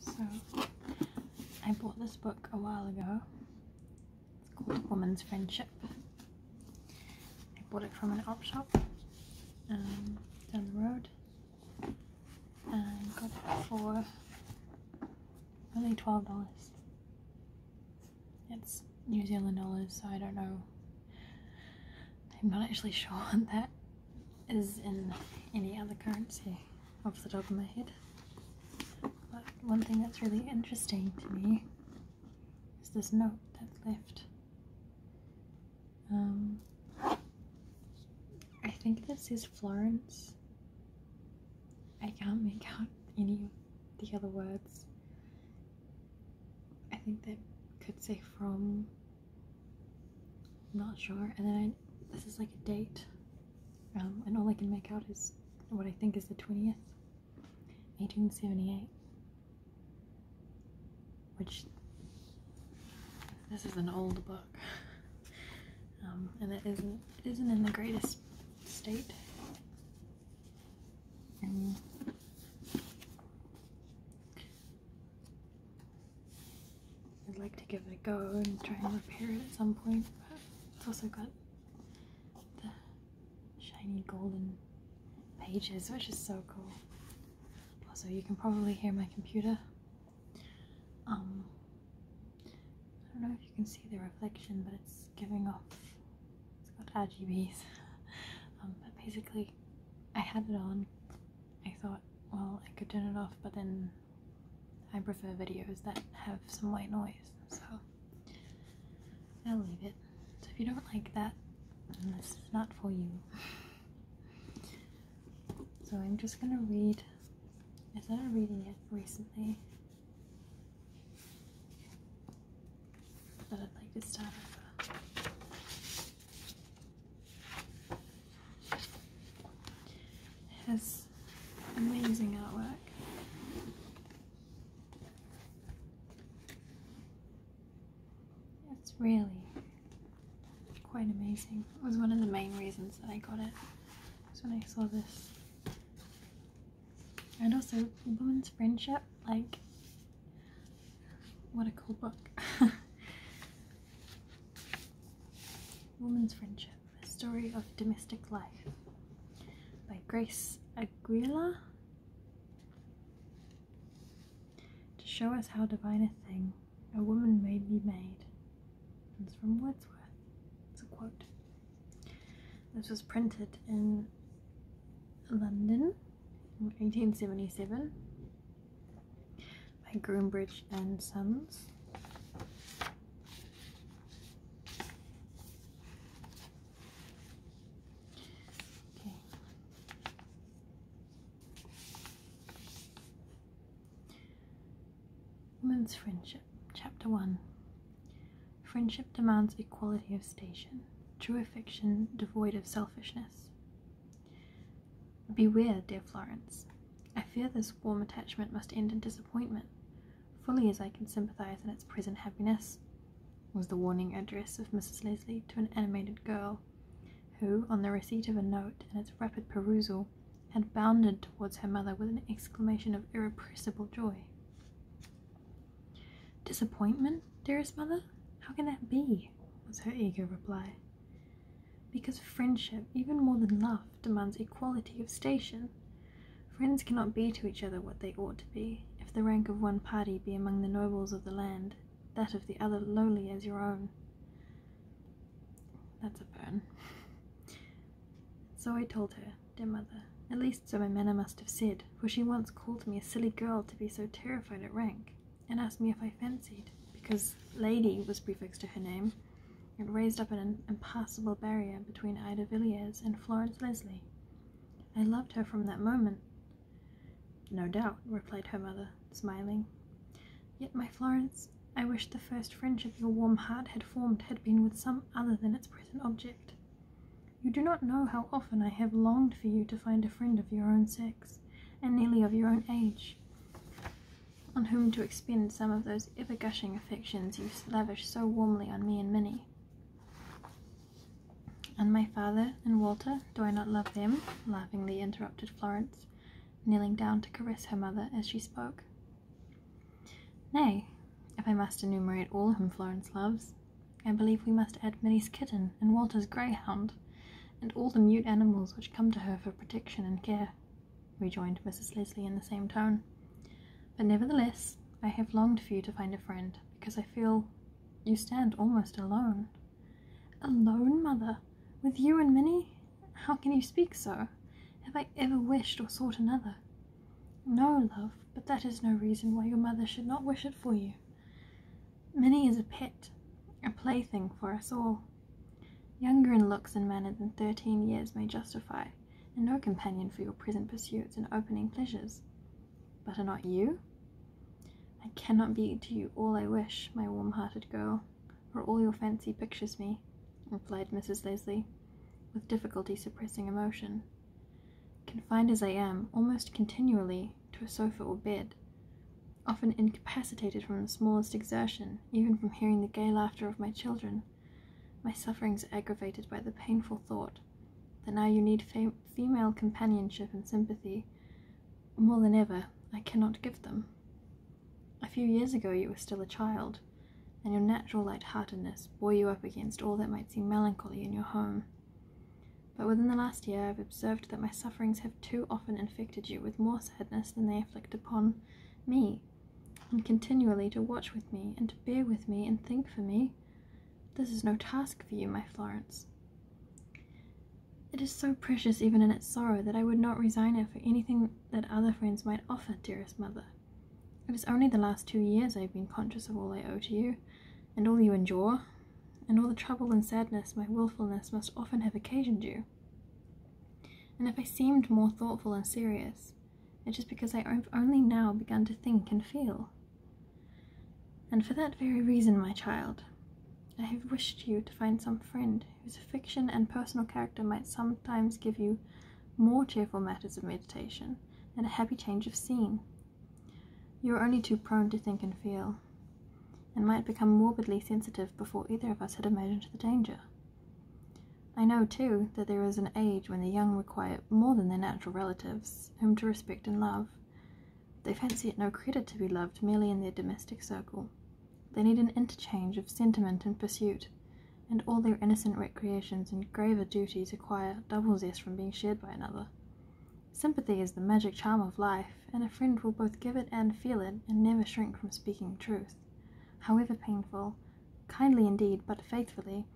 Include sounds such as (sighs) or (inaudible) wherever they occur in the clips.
So, I bought this book a while ago. It's called Woman's Friendship. I bought it from an art shop um, down the road and got it for only $12. It's New Zealand dollars, so I don't know. I'm not actually (laughs) sure on that is in any other currency off the top of my head. But one thing that's really interesting to me is this note that's left. Um, I think this is Florence. I can't make out any of the other words. I think they could say from I'm not sure. And then this is like a date, um, and all I can make out is what I think is the 20th, 1878. Which, this is an old book, um, and it isn't, isn't isn't in the greatest state. Um, I'd like to give it a go and try and repair it at some point, but it's also got the shiny golden pages, which is so cool. Also, you can probably hear my computer. Um, I don't know if you can see the reflection, but it's giving off. It's got RGBs. (laughs) Um, but basically, I had it on I thought, well, I could turn it off, but then I prefer videos that have some white noise, so I'll leave it. So if you don't like that, this is not for you. So I'm just gonna read. I started reading it recently, but I'd like to start with it has amazing artwork. It's really quite amazing. It was one of the main reasons that I got it. Was when I saw this. And also, Woman's Friendship, like, what a cool book. (laughs) Woman's Friendship A Story of Domestic Life by Grace Aguilar. To show us how divine a thing a woman may be made. It's from Wordsworth. It's a quote. This was printed in London in 1877 by Groombridge and Sons. Okay. Woman's Friendship, Chapter 1. Friendship demands equality of station, true affection devoid of selfishness. Beware, dear Florence. I fear this warm attachment must end in disappointment, fully as I can sympathize in its present happiness, was the warning address of Mrs. Leslie to an animated girl, who, on the receipt of a note and its rapid perusal, had bounded towards her mother with an exclamation of irrepressible joy. Disappointment, dearest mother? How can that be? was her eager reply because friendship, even more than love, demands equality of station. Friends cannot be to each other what they ought to be, if the rank of one party be among the nobles of the land, that of the other lowly as your own. That's a burn. so I told her, dear mother, at least so my manner must have said, for she once called me a silly girl to be so terrified at rank, and asked me if I fancied, because lady was prefixed to her name, it raised up an impassable barrier between Ida Villiers and Florence Leslie. I loved her from that moment. No doubt, replied her mother, smiling. Yet, my Florence, I wish the first friendship your warm heart had formed had been with some other than its present object. You do not know how often I have longed for you to find a friend of your own sex, and nearly of your own age on whom to expend some of those ever gushing affections you lavished so warmly on me and Minnie. And my father and Walter, do I not love them? laughingly interrupted Florence, kneeling down to caress her mother as she spoke. Nay, if I must enumerate all whom Florence loves, I believe we must add Minnie's kitten and Walter's greyhound, and all the mute animals which come to her for protection and care rejoined Mrs. Leslie in the same tone. But nevertheless, I have longed for you to find a friend, because I feel you stand almost alone. Alone, mother? With you and Minnie? How can you speak so? Have I ever wished or sought another? No, love, but that is no reason why your mother should not wish it for you. Minnie is a pet, a plaything for us all. Younger in looks and manner than thirteen years may justify, and no companion for your present pursuits and opening pleasures. But are not you? I cannot be to you all I wish, my warm hearted girl, for all your fancy pictures me, replied Mrs. Leslie, with difficulty suppressing emotion. Confined as I am, almost continually, to a sofa or bed, often incapacitated from the smallest exertion, even from hearing the gay laughter of my children, my sufferings are aggravated by the painful thought that now you need female companionship and sympathy. More than ever, I cannot give them. A few years ago, you were still a child, and your natural light-heartedness bore you up against all that might seem melancholy in your home. But within the last year, I've observed that my sufferings have too often infected you with more sadness than they inflict upon me, and continually to watch with me, and to bear with me, and think for me. This is no task for you, my Florence. It is so precious even in its sorrow that I would not resign it for anything that other friends might offer, dearest mother. It is only the last two years I have been conscious of all I owe to you, and all you endure, and all the trouble and sadness my wilfulness must often have occasioned you. And if I seemed more thoughtful and serious, it's just because I only now began to think and feel. And for that very reason, my child, I have wished you to find some friend whose affection and personal character might sometimes give you more cheerful matters of meditation and a happy change of scene. You are only too prone to think and feel, and might become morbidly sensitive before either of us had imagined the danger. I know, too, that there is an age when the young require more than their natural relatives, whom to respect and love. They fancy it no credit to be loved merely in their domestic circle. They need an interchange of sentiment and pursuit, and all their innocent recreations and graver duties acquire double zest from being shared by another. Sympathy is the magic charm of life, and a friend will both give it and feel it, and never shrink from speaking truth however painful, kindly indeed, but faithfully,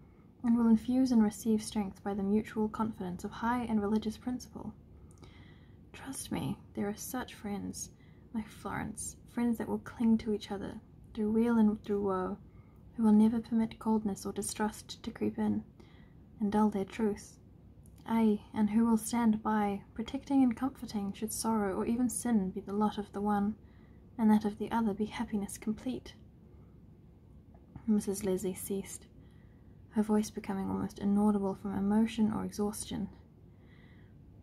and will infuse and receive strength by the mutual confidence of high and religious principle. Trust me, there are such friends, like Florence, friends that will cling to each other through weal and through woe, who will never permit coldness or distrust to creep in and dull their truth. Ay, and who will stand by, protecting and comforting, should sorrow or even sin be the lot of the one and that of the other be happiness complete. Mrs. Leslie ceased, her voice becoming almost inaudible from emotion or exhaustion.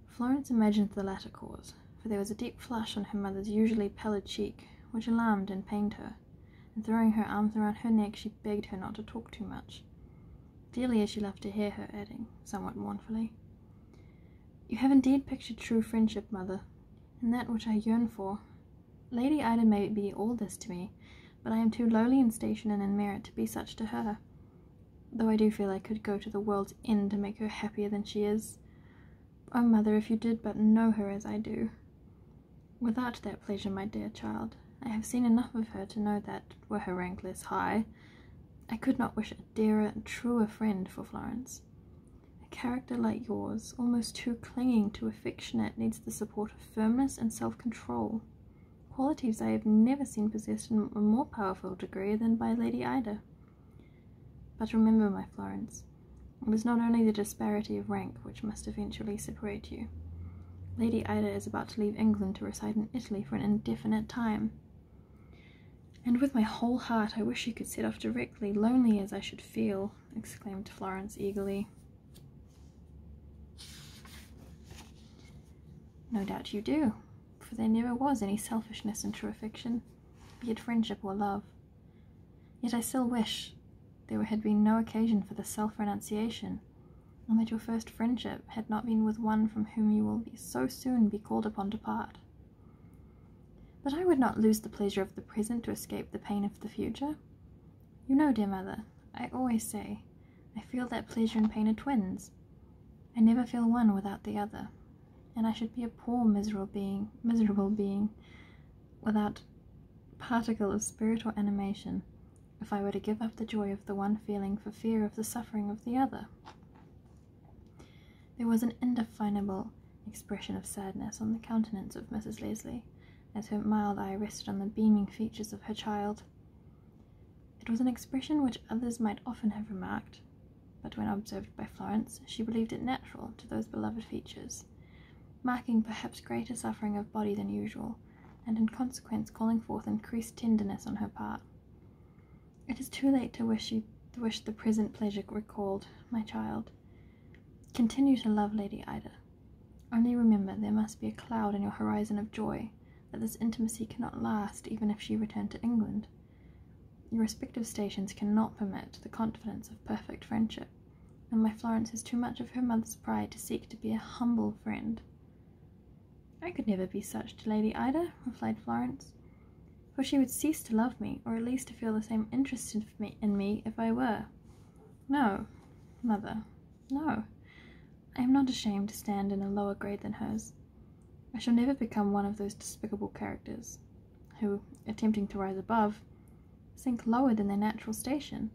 Florence imagined the latter cause, for there was a deep flush on her mother's usually pallid cheek, which alarmed and pained her, and throwing her arms around her neck, she begged her not to talk too much. Dearly as she loved to hear her, adding, somewhat mournfully, you have indeed pictured true friendship, mother, and that which I yearn for. Lady Ida may be all this to me, but I am too lowly in station and in merit to be such to her, though I do feel I could go to the world's end to make her happier than she is. Oh, mother, if you did but know her as I do. Without that pleasure, my dear child, I have seen enough of her to know that, were her rank less high, I could not wish it dearer and truer friend for Florence. A character like yours, almost too clinging, too affectionate, needs the support of firmness and self control. Qualities I have never seen possessed in a more powerful degree than by Lady Ida. But remember, my Florence, it was not only the disparity of rank which must eventually separate you. Lady Ida is about to leave England to reside in Italy for an indefinite time, and with my whole heart, I wish you could set off directly, lonely as I should feel, exclaimed Florence eagerly. No doubt you do, for there never was any selfishness in true affection, be it friendship or love. Yet I still wish there had been no occasion for the self renunciation, and that your first friendship had not been with one from whom you will so soon be called upon to part. But I would not lose the pleasure of the present to escape the pain of the future. You know, dear mother, I always say, I feel that pleasure and pain are twins. I never feel one without the other, and I should be a poor miserable being, miserable being, without particle of spirit or animation, if I were to give up the joy of the one feeling for fear of the suffering of the other. There was an indefinable expression of sadness on the countenance of Mrs. Leslie, as her mild eye rested on the beaming features of her child. It was an expression which others might often have remarked, but when observed by Florence, she believed it natural to those beloved features, marking perhaps greater suffering of body than usual, and in consequence calling forth increased tenderness on her part. It is too late to wish the present pleasure recalled, my child. Continue to love Lady Ida. Only remember there must be a cloud in your horizon of joy, that this intimacy cannot last even if she return to England. Your respective stations cannot permit the confidence of perfect friendship, and my Florence has too much of her mother's pride to seek to be a humble friend. I could never be such to Lady Ida, replied Florence for she would cease to love me, or at least to feel the same interest in me, in me if I were. No, mother, no. I am not ashamed to stand in a lower grade than hers. I shall never become one of those despicable characters who, attempting to rise above, sink lower than their natural station,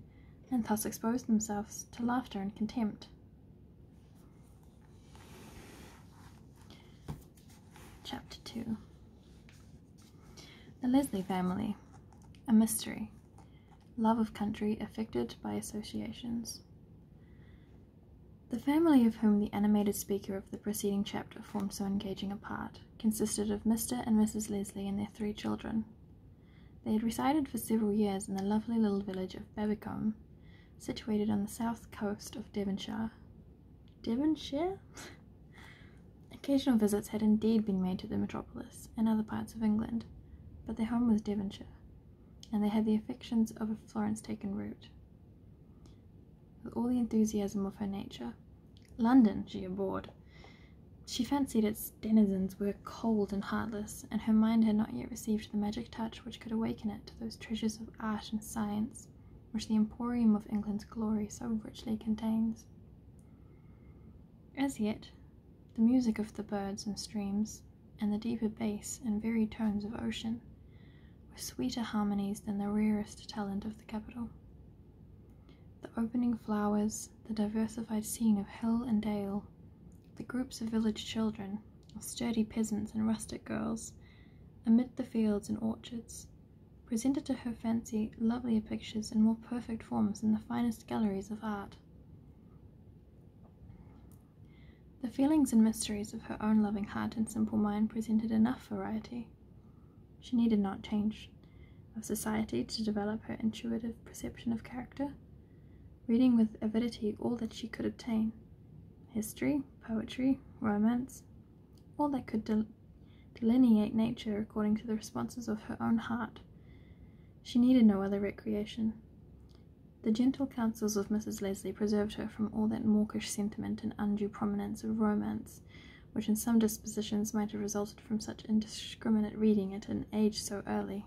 and thus expose themselves to laughter and contempt. Chapter 2 The Leslie Family A Mystery Love of Country Affected by Associations. The family of whom the animated speaker of the preceding chapter formed so engaging a part consisted of Mr. and Mrs. Leslie and their three children. They had resided for several years in the lovely little village of Babicombe, situated on the south coast of Devonshire. Devonshire? Occasional visits had indeed been made to the metropolis and other parts of England, but their home was Devonshire, and they had the affections of a Florence taken root. With all the enthusiasm of her nature, London she abhorred. She fancied its denizens were cold and heartless, and her mind had not yet received the magic touch which could awaken it to those treasures of art and science which the emporium of England's glory so richly contains. As yet, the music of the birds and streams, and the deeper bass and varied tones of ocean, were sweeter harmonies than the rarest talent of the capital. The opening flowers, the diversified scene of hill and dale, the groups of village children, of sturdy peasants and rustic girls, amid the fields and orchards, presented to her fancy lovelier pictures and more perfect forms in the finest galleries of art. The feelings and mysteries of her own loving heart and simple mind presented enough variety. She needed not change of society to develop her intuitive perception of character, reading with avidity all that she could obtain history, poetry, romance, or that could delineate nature according to the responses of her own heart. She needed no other recreation. The gentle counsels of Mrs. Leslie preserved her from all that mawkish sentiment and undue prominence of romance, which in some dispositions might have resulted from such indiscriminate reading at an age so early.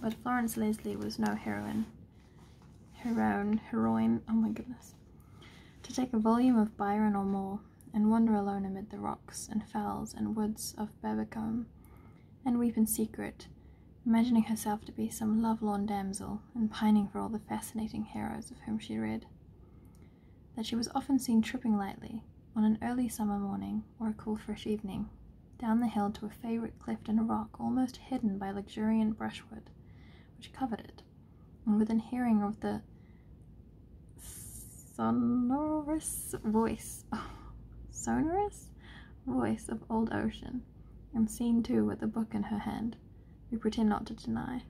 But Florence Leslie was no heroine. Heroine, heroine, oh my goodness. To take a volume of Byron or Moore, and wander alone amid the rocks and fells and woods of Babbicombe, and weep in secret, imagining herself to be some love-lorn damsel, and pining for all the fascinating heroes of whom she read. That she was often seen tripping lightly, on an early summer morning, or a cool fresh evening, down the hill to a favourite cleft in a rock almost hidden by luxuriant brushwood which covered it, and within hearing of the sonorous voice (laughs) sonorous voice of old ocean, and seen too with a book in her hand, we pretend not to deny.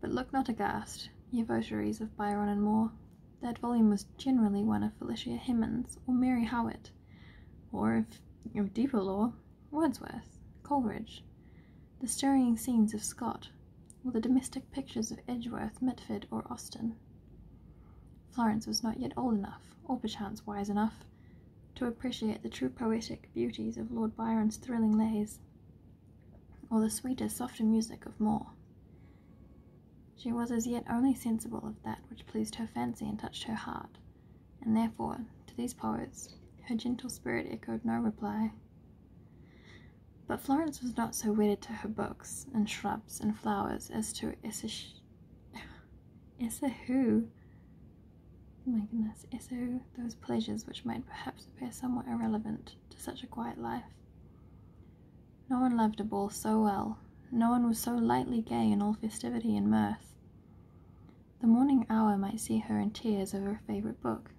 But look not aghast, ye votaries of Byron and Moore. That volume was generally one of Felicia Hemans or Mary Howitt, or if of deeper lore, Wordsworth, Coleridge, the stirring scenes of Scott, or the domestic pictures of Edgeworth, Mitford, or Austen. Florence was not yet old enough, or perchance wise enough, to appreciate the true poetic beauties of Lord Byron's thrilling lays, or the sweeter, softer music of Moore. She was as yet only sensible of that which pleased her fancy and touched her heart, and therefore, to these poets, her gentle spirit echoed no reply. But Florence was not so wedded to her books and shrubs and flowers as to Essish. (sighs) Essahu. Oh my goodness, Essahu, those pleasures which might perhaps appear somewhat irrelevant to such a quiet life. No one loved a ball so well no one was so lightly gay in all festivity and mirth. The morning hour might see her in tears over a favourite book,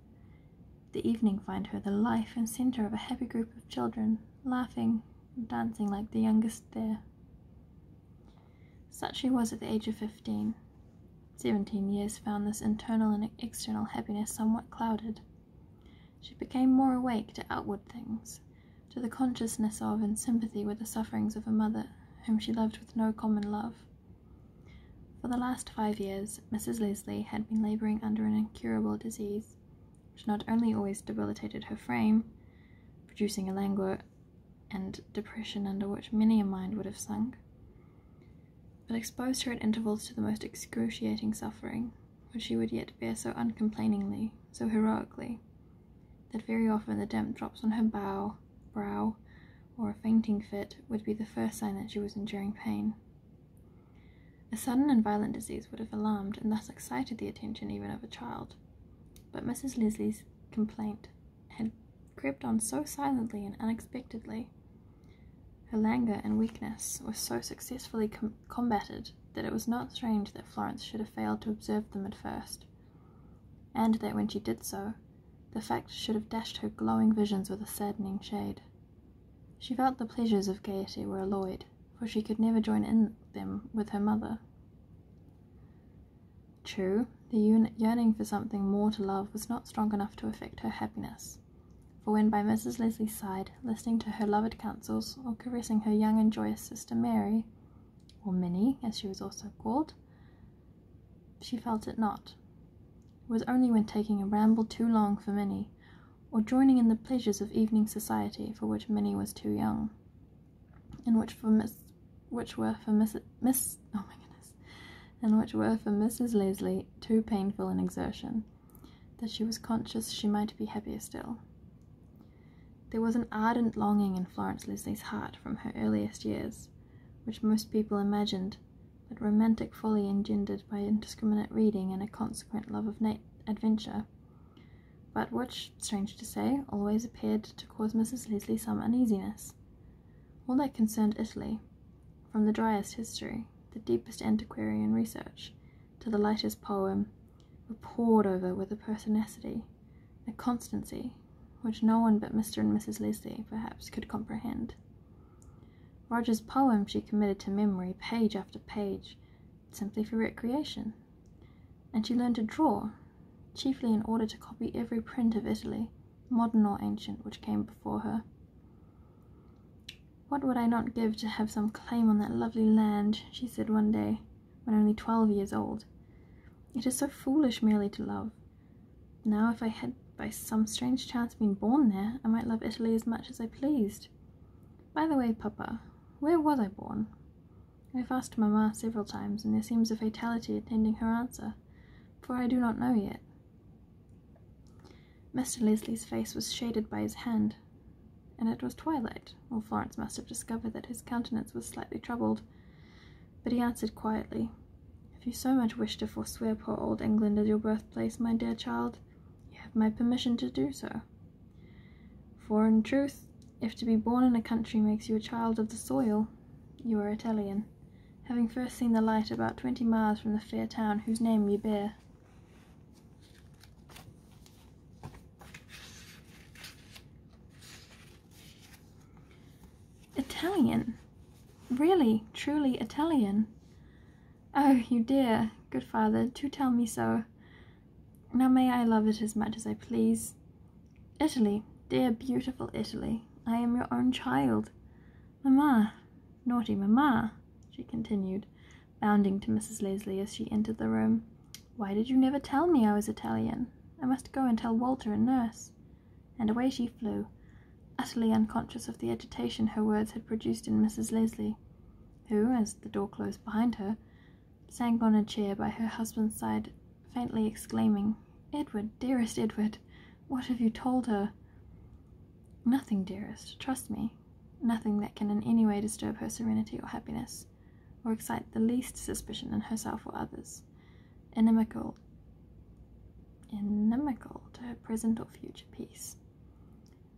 the evening find her the life and centre of a happy group of children, laughing and dancing like the youngest there. Such she was at the age of fifteen. Seventeen years found this internal and external happiness somewhat clouded. She became more awake to outward things, to the consciousness of and sympathy with the sufferings of a mother whom she loved with no common love. For the last five years, Mrs. Leslie had been labouring under an incurable disease, which not only always debilitated her frame, producing a languor and depression under which many a mind would have sunk, but exposed her at intervals to the most excruciating suffering, which she would yet bear so uncomplainingly, so heroically, that very often the damp drops on her bow, brow, or a fainting fit would be the first sign that she was enduring pain. A sudden and violent disease would have alarmed and thus excited the attention even of a child, but Mrs. Leslie's complaint had crept on so silently and unexpectedly. Her languor and weakness were so successfully combated that it was not strange that Florence should have failed to observe them at first and that when she did so, the fact should have dashed her glowing visions with a saddening shade. She felt the pleasures of gaiety were alloyed, for she could never join in them with her mother. True, the yearning for something more to love was not strong enough to affect her happiness, for when by Mrs. Leslie's side, listening to her loved counsels, or caressing her young and joyous sister Mary, or Minnie as she was also called, she felt it not. It was only when taking a ramble too long for Minnie, or joining in the pleasures of evening society for which Minnie was too young, and which were for Miss oh and which were for Mrs. Leslie too painful an exertion, that she was conscious she might be happier still. There was an ardent longing in Florence Leslie's heart from her earliest years, which most people imagined, but romantic folly engendered by indiscriminate reading and a consequent love of adventure, but which, strange to say, always appeared to cause Mrs. Leslie some uneasiness. All that concerned Italy, from the driest history, the deepest antiquarian research, to the lightest poem, were pored over with a pertinacity, a constancy, which no one but Mr. and Mrs. Leslie perhaps could comprehend. Roger's poems she committed to memory page after page, simply for recreation, and she learned to draw, chiefly in order to copy every print of Italy, modern or ancient, which came before her. What would I not give to have some claim on that lovely land, she said one day, when only twelve years old. It is so foolish merely to love. Now, if I had by some strange chance been born there, I might love Italy as much as I pleased. By the way, Papa, where was I born? I have asked Mamma several times, and there seems a fatality attending her answer, for I do not know yet. Mr. Leslie's face was shaded by his hand, and it was twilight, or Florence must have discovered that his countenance was slightly troubled. But he answered quietly, If you so much wish to forswear poor old England as your birthplace, my dear child, you have my permission to do so. For in truth, if to be born in a country makes you a child of the soil, you are Italian, having first seen the light about twenty miles from the fair town whose name you bear. Italian. Really, truly Italian. Oh, you dear, good father, do tell me so. Now may I love it as much as I please. Italy, dear beautiful Italy, I am your own child. Mamma, naughty mamma, she continued, bounding to Mrs. Leslie as she entered the room. Why did you never tell me I was Italian? I must go and tell Walter and nurse. And away she flew, utterly unconscious of the agitation her words had produced in Mrs. Leslie, who, as the door closed behind her, sank on a chair by her husband's side, faintly exclaiming, Edward, dearest Edward, what have you told her? Nothing, dearest, trust me. Nothing that can in any way disturb her serenity or happiness or excite the least suspicion in herself or others, inimical, inimical to her present or future peace.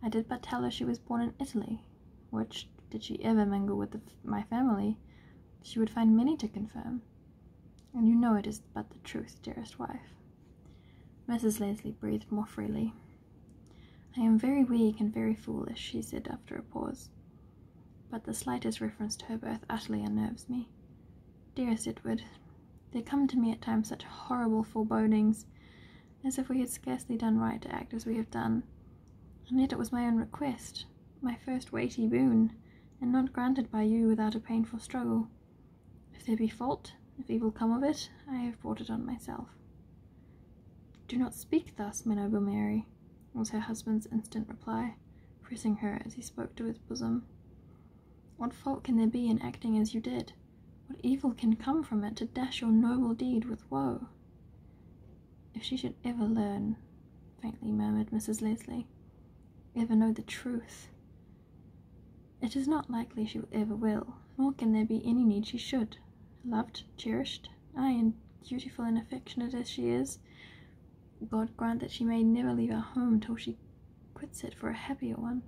I did but tell her she was born in Italy, which, did she ever mingle with my family, she would find many to confirm. And you know it is but the truth, dearest wife. Mrs. Leslie breathed more freely. I am very weak and very foolish, she said after a pause but the slightest reference to her birth utterly unnerves me. Dearest Edward, there come to me at times such horrible forebodings, as if we had scarcely done right to act as we have done, and yet it was my own request, my first weighty boon, and not granted by you without a painful struggle. If there be fault, if evil come of it, I have brought it on myself. Do not speak thus, my noble Mary was her husband's instant reply, pressing her as he spoke to his bosom. What fault can there be in acting as you did? What evil can come from it to dash your noble deed with woe? If she should ever learn, faintly murmured Mrs. Leslie, ever know the truth. It is not likely she ever will, nor can there be any need she should. Loved, cherished, ay, and dutiful and affectionate as she is, God grant that she may never leave her home till she quits it for a happier one.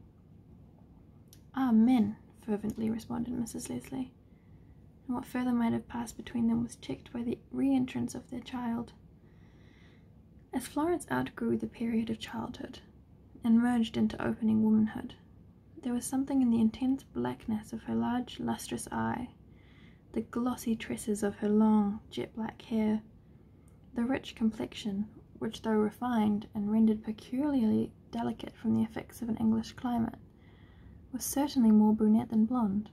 Amen, fervently responded Mrs. Leslie. And what further might have passed between them was checked by the re entrance of their child. As Florence outgrew the period of childhood and merged into opening womanhood, there was something in the intense blackness of her large, lustrous eye the glossy tresses of her long jet black hair, the rich complexion, which, though refined and rendered peculiarly delicate from the effects of an English climate, was certainly more brunette than blonde.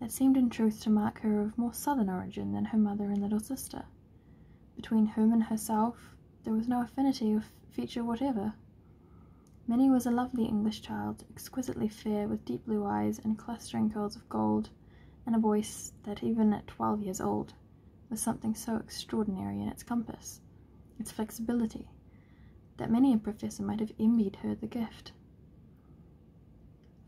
That seemed in truth to mark her of more southern origin than her mother and little sister, between whom and herself there was no affinity of feature whatever. Minnie was a lovely English child, exquisitely fair with deep blue eyes and clustering curls of gold, and a voice that, even at twelve years old, was something so extraordinary in its compass, its flexibility, that many a professor might have envied her the gift.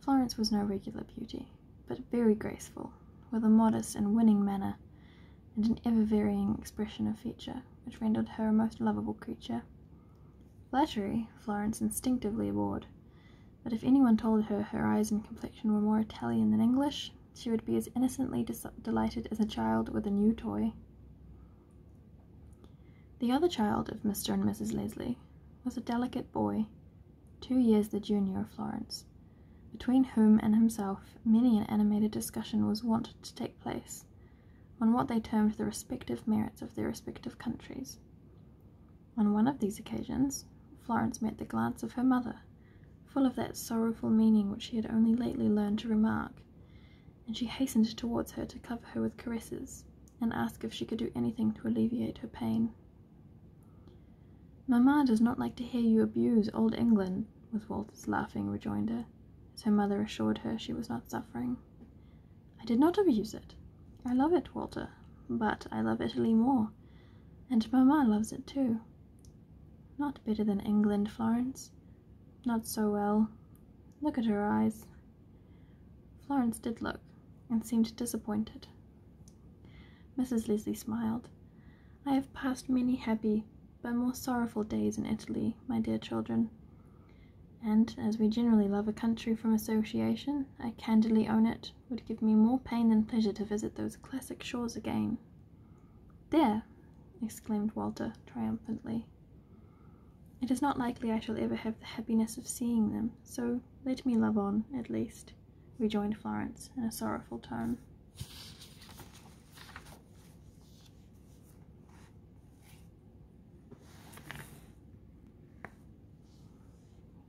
Florence was no regular beauty, but very graceful, with a modest and winning manner, and an ever varying expression of feature, which rendered her a most lovable creature. Flattery Florence instinctively avowed, but if anyone told her her eyes and complexion were more Italian than English, she would be as innocently delighted as a child with a new toy. The other child of Mr. and Mrs. Leslie was a delicate boy, two years the junior of Florence, between whom and himself many an animated discussion was wont to take place on what they termed the respective merits of their respective countries. On one of these occasions, Florence met the glance of her mother, full of that sorrowful meaning which she had only lately learned to remark, and she hastened towards her to cover her with caresses and ask if she could do anything to alleviate her pain. Mamma does not like to hear you abuse old England, was Walter's laughing rejoinder, as her mother assured her she was not suffering. I did not abuse it. I love it, Walter, but I love Italy more, and Mamma loves it too. Not better than England, Florence. Not so well. Look at her eyes. Florence did look, and seemed disappointed. Mrs. Leslie smiled. I have passed many happy, but more sorrowful days in Italy, my dear children and as we generally love a country from association, I candidly own it would give me more pain than pleasure to visit those classic shores again. There! exclaimed Walter triumphantly. It is not likely I shall ever have the happiness of seeing them, so let me love on, at least, rejoined Florence in a sorrowful tone.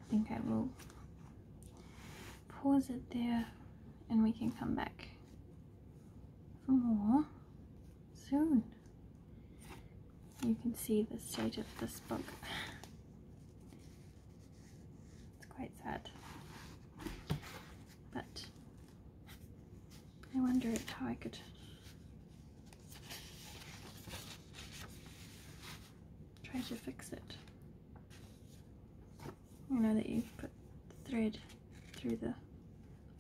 I think I will pause it there and we can come back for more soon. You can see the state of this book. It's quite sad. But I wonder how I could try to fix it. You know that you put the thread through the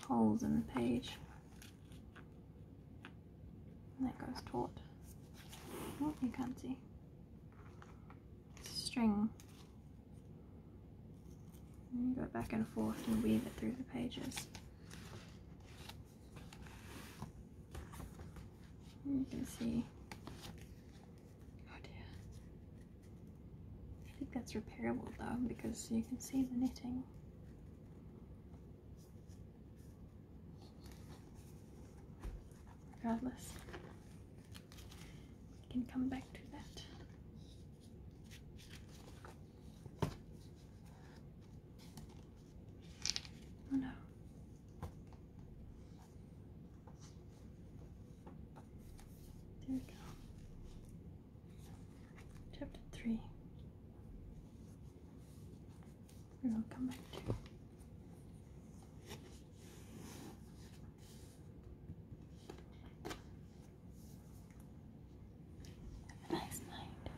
holes in the page. And that goes taut. Oh, you can't see. String. you go back and forth and weave it through the pages. You can see. Oh dear. I think that's repairable though because you can see the knitting. Regardless, we can come back to that. Oh no. There we go. Chapter 3. We will come back to. Have a nice night.